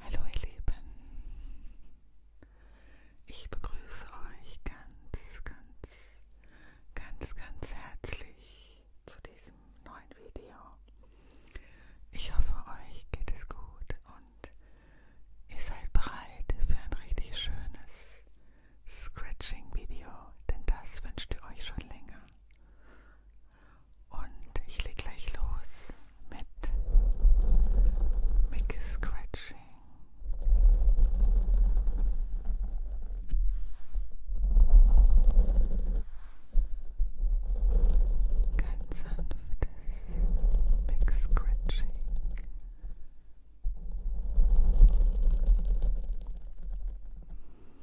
Hallo ihr Lieben, ich begrüße euch ganz, ganz, ganz, ganz herzlich zu diesem neuen Video. Ich hoffe, euch geht es gut und ihr seid bereit für ein richtig schönes Scratching-Video, denn das wünscht ihr euch schon länger. Und ich leg gleich los mit Mickey Scratching. Ganz sanftes Mick Scratching.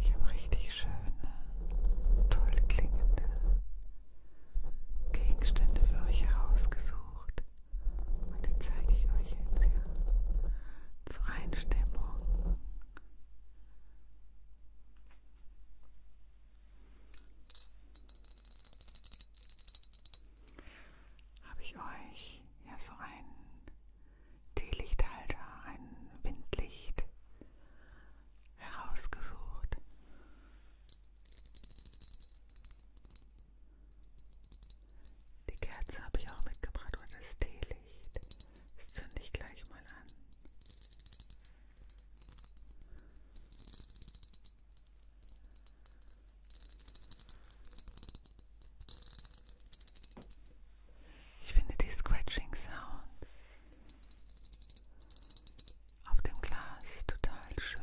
Ich habe richtig schöne, toll klingende Gegenstände für euch herausgesucht. Und die zeige ich euch jetzt hier zur Einstimmung habe ich euch ja so einen Teelichthalter, ein Windlicht herausgesucht. Die Kerze habe ich auch mitgebracht oder das Teelicht. Das zünde ich gleich mal an. Ich finde die Scratching Sounds auf dem Glas total schön.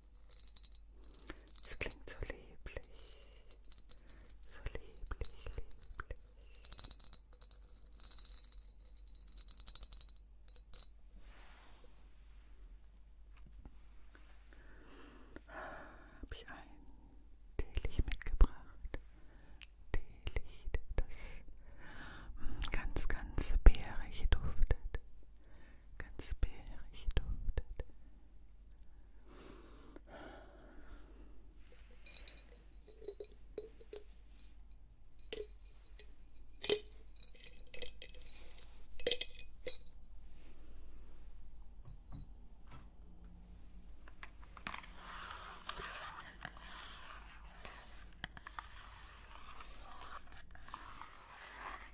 Es klingt so lieblich, so lieblich, lieblich. Habe ich ein Teelicht mitgebracht. Teelicht, das ganz, ganz bärig duftet ganz bärig duftet.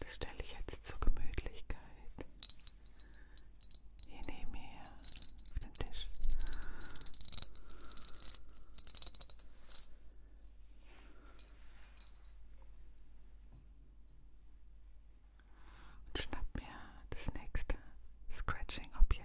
Das stelle ich jetzt zur Gemütlichkeit hier neben mir auf den Tisch. Und schnapp mir das nächste Scratching-Objekt.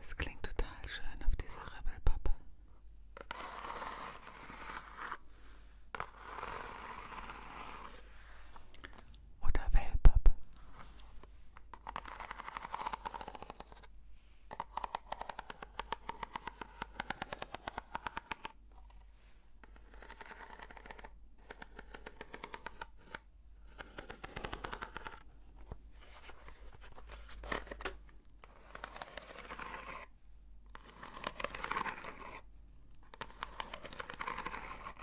Es klingt total schön auf dieser Ribbelpappe oder Wellpappe?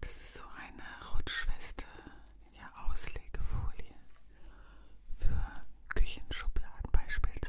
Das ist so eine Rutschweste, ja, Auslegefolie für Küchenschubladen beispielsweise.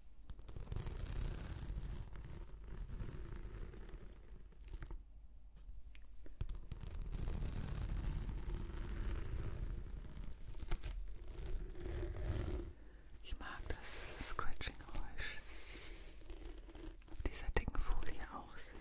Ich mag das Scratching-Geräusch auf dieser dicken Folie auch sehr.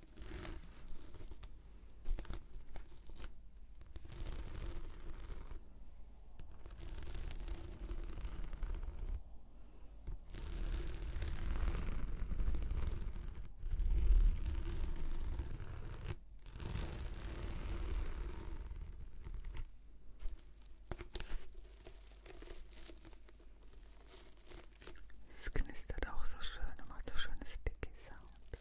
Es knistert auch so schön und macht so schönes Sticky Sound.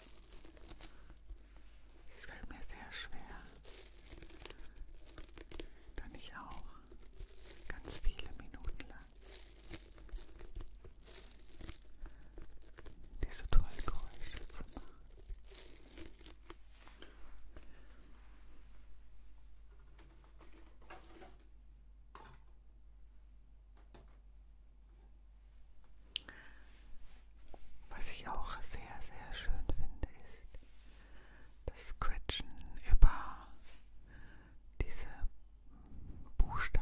Es fällt mir sehr schwer, dann ich auch ganz viele Minuten lang diese tollen Geräusche zu machen. Was ich auch sehr, sehr schön finde, ist das Scratchen über diese Buchstaben.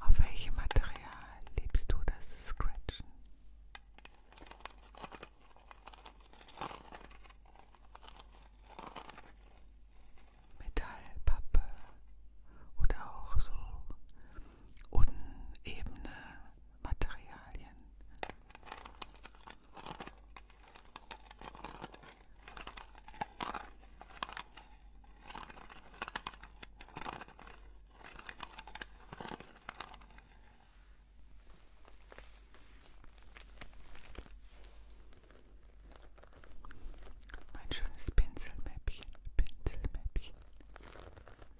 Auf welchem Material liebst du das Scratchen? Metall, Pappe oder auch so unebene Materialien. Mein schönes Pinselmäppchen, Pinselmäppchen.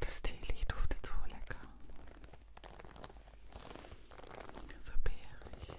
Das Teelicht duftet so lecker. So bärig.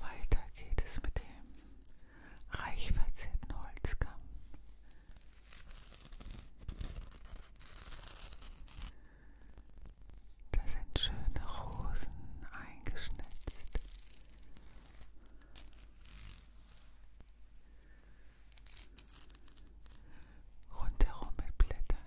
Weiter geht es mit dem reich verzierten Holzkamm. Da sind schöne Rosen eingeschnitzt. Rundherum mit Blättern.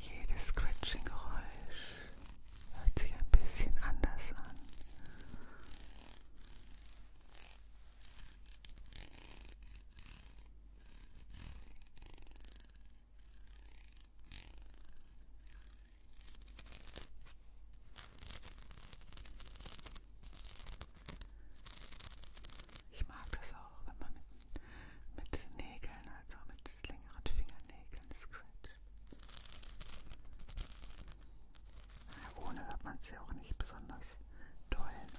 Jedes Scratching-Geräusch hört sich ein bisschen anders an. Ich mag das auch, wenn man mit, mit Nägeln, also mit längeren Fingernägeln scratcht. Ja, ohne hört man es ja auch nicht besonders doll. Ne?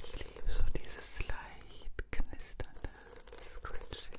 Ich liebe so dieses leicht knisternde Scratching.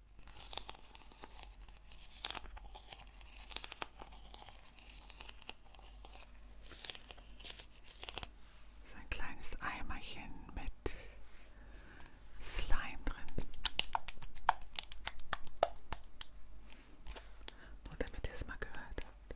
Das ist ein kleines Eimerchen mit Slime drin. Nur damit ihr es mal gehört habt.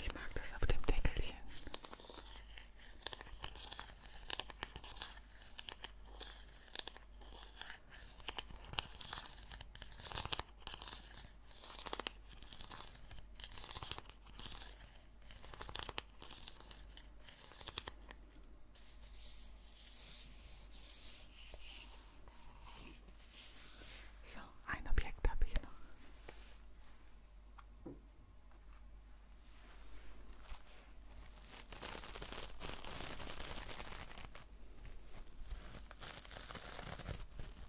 Ich mag das auf dem Deckelchen. So, ein Objekt habe ich noch. So,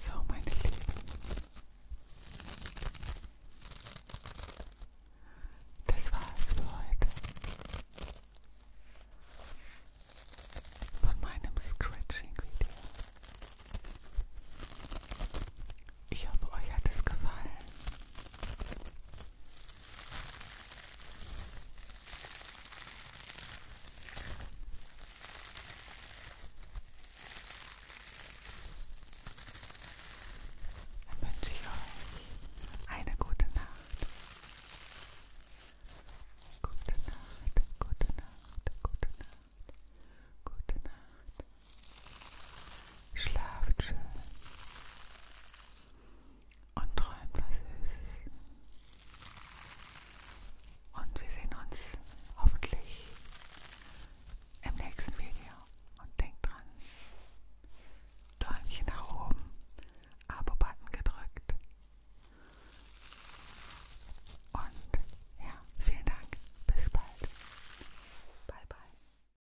So, meine Lieben. Das war's für heute. Von meinem Scratching-Video. Ich hoffe, euch hat es gefallen. Dann wünsche ich euch eine gute Nacht. Gute Nacht, gute Nacht, gute Nacht, gute Nacht. Schlaft schön und träumt was Süßes. Und wir sehen uns hoffentlich im nächsten Video. Und denkt dran, Däumchen nach oben, Abo-Button gedrückt. Und ja, vielen Dank. Bis bald. Bye, bye.